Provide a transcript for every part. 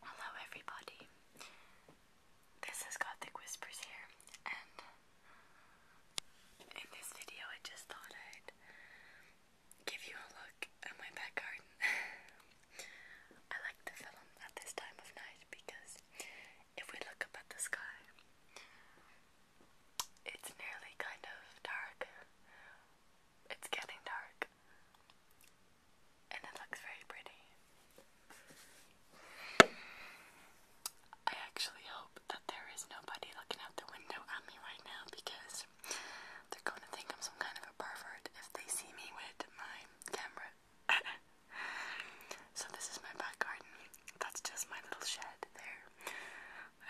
Hello, everybody. This is Gothic Whispers here, and in this video, I just thought I'd give you a look at my backyard. I like to film at this time of night because if we look up at the sky, it's nearly kind of dark. It's getting dark and it looks very pretty. I actually hope that there is nobody looking out the window at me right now because they're going to think I'm some kind of a pervert if they see me with my camera. so, this is my back garden. That's just my little shed there.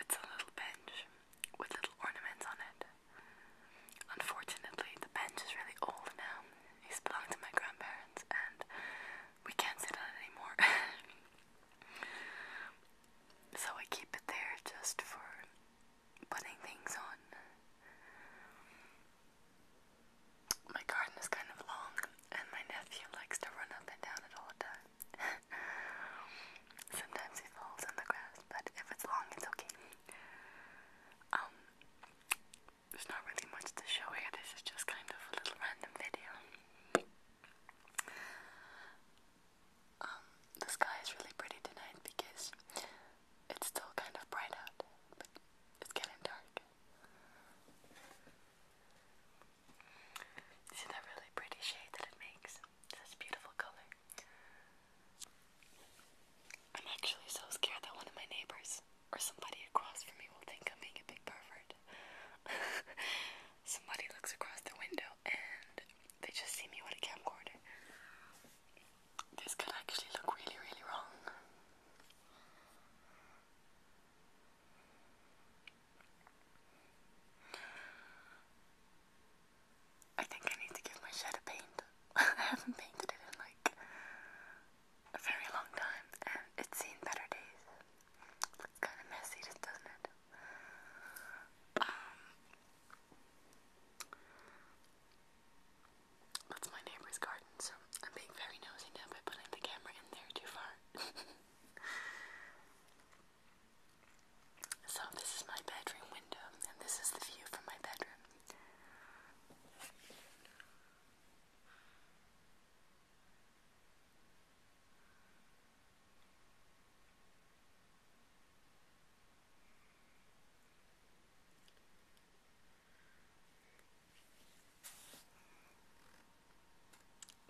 It's a little bench with little ornaments on it. Unfortunately, the bench is really old now. It's used to to my grandparents, and we can't sit on it anymore. so I keep it there just for putting things on. My garden is kind of long, and my nephew likes to run up and down it all the time. Sometimes he falls on the grass, but if it's long, it's okay. Um, there's not really much to show here, this is just kind of a little random video. Um, the sky is really pretty tonight because it's still kind of bright out, but it's getting dark. See that really pretty shade that it makes? this beautiful color. I'm actually so scared that one of my neighbors or somebody across from me will think I'm being a big pervert. somebody looks across the window and they just see me with a camcorder. This could actually look really, really wrong. I think I need to give my shed a paint. I haven't painted it in like a very long time and it's seen better days. It's kind of messy, doesn't it? Um, that's my neighbor's garden, so I'm being very nosy now by putting the camera in there too far. So this is my bedroom window, and this is the view from my bedroom.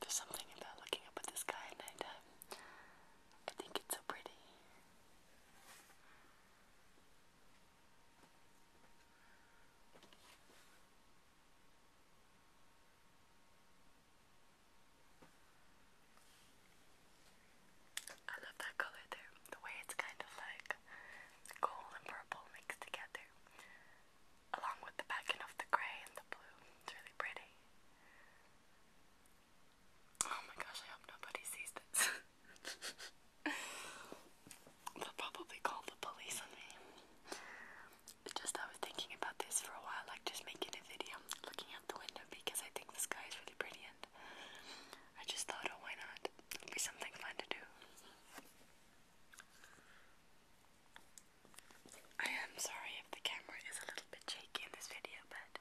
There's something about looking up at the sky at nighttime I think it's so pretty. I love that color there, the way it's kind of like gold and purple mixed together, along with the backing of the gray and the blue. It's really pretty. Oh my gosh, I hope nobody sees this. They'll probably call the police on me. just I was thinking about this for a while, like just making a video looking out the window because I think the sky is really pretty and I just thought, oh, why not? It'll be something fun to do. I am sorry if the camera is a little bit shaky in this video, but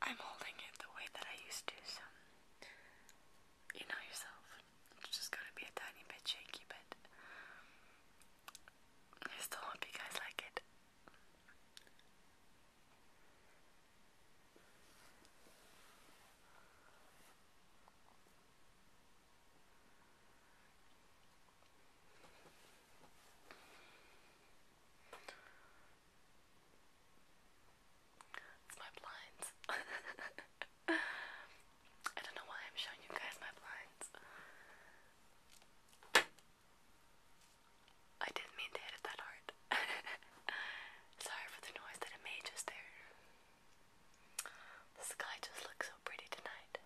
I'm holding it the way that I used to, so you know yourself. It's just gonna be a tiny bit shaky, but I still hope you guys like it. It's my blinds. I don't know why I'm showing you guys my blinds. I didn't mean to hit it that hard. Sorry for the noise that it made just there. The sky just looks so pretty tonight.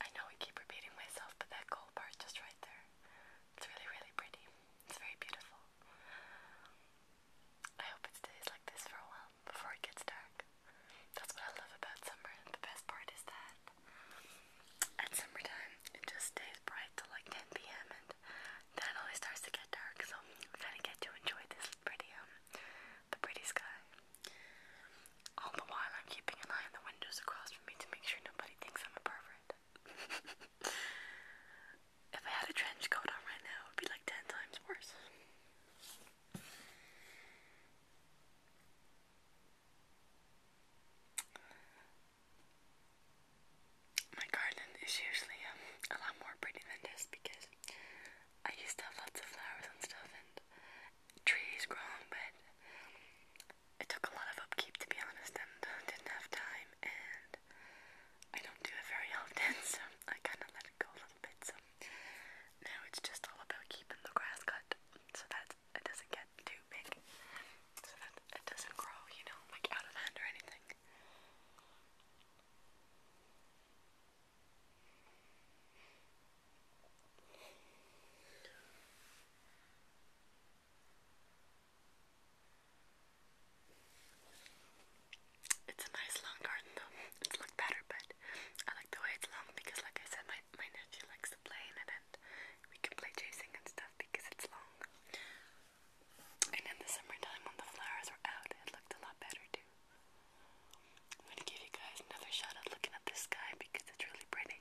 I know I keep repeating myself, but that gold part just right there. It's really, really pretty. It's very beautiful. I hope it stays like this for a while before it gets dark. That's what I love about summer. The best part is that at summertime it just stays bright till like 10 p.m. and then it always starts to get dark. So you kind of get to enjoy this pretty um the pretty sky. All the while, I'm keeping an eye on the windows across from me to make sure nobody thinks I'm a pervert. if I had a trench coat on right now, it would be like ten times worse. My garden is usually um, a lot more pretty than this because I used to have lots of flowers and stuff and trees growing, but it took a lot of upkeep to be honest and didn't have time and I don't do it very often so I kinda let it go a little bit so now it's just all about keeping the grass cut so that it doesn't get too big so that it doesn't grow, you know, like out of hand or anything. It's a nice long garden though. It's looked better, but I like the way it's long because, like I said, my, my nephew likes to play in it and we can play chasing and stuff because it's long. And in the summertime, when the flowers were out, it looked a lot better too. I'm gonna give you guys another shot at looking at the sky because it's really pretty.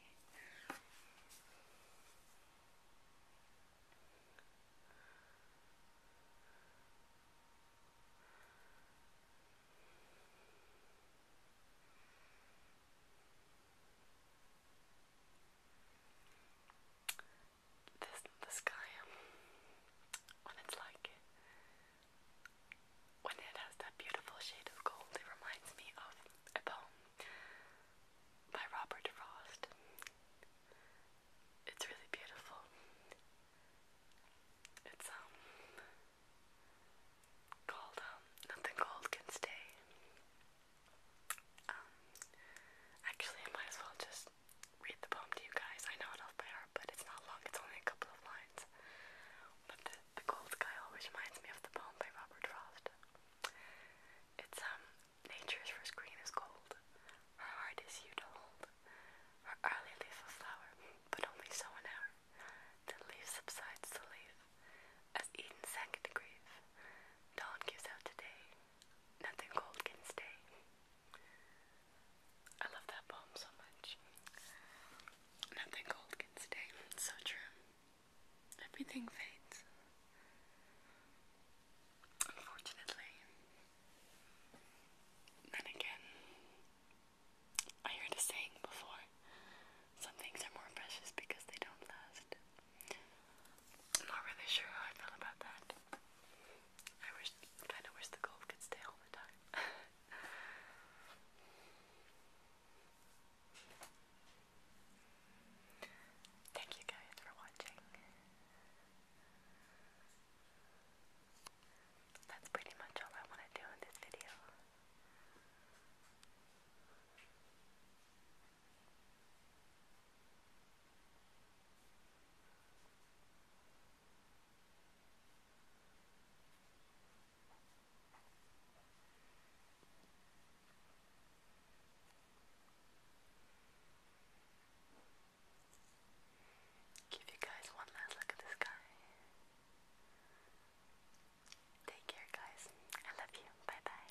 This the sky when it's like when it has that beautiful shade of gold, it reminds me of a poem by Robert Frost. It's really beautiful. It's um, called um, Nothing Cold Can Stay. Um, actually I might as well just read the poem to you guys. I know it off by heart, but it's not long, it's only a couple of lines. The Cold Sky always reminds me of the poem by Robert Frost. It's um nature's first green is gold. Her heart is you to hold. Her early leaf of flower, but only so an hour. The leaf subsides to leave As Eden sank to grief. Dawn gives out today. Nothing gold can stay. I love that poem so much. Nothing cold can stay. so true. Everything fades. Unfortunately. Then again, I heard a saying before some things are more precious because they don't last. not really sure how I feel about that. I wish, kind of wish the golf could stay all the time. Thank you guys for watching. That's pretty much all I want to do in this video. Give you guys one last look at the sky. Take care, guys. I love you. Bye bye.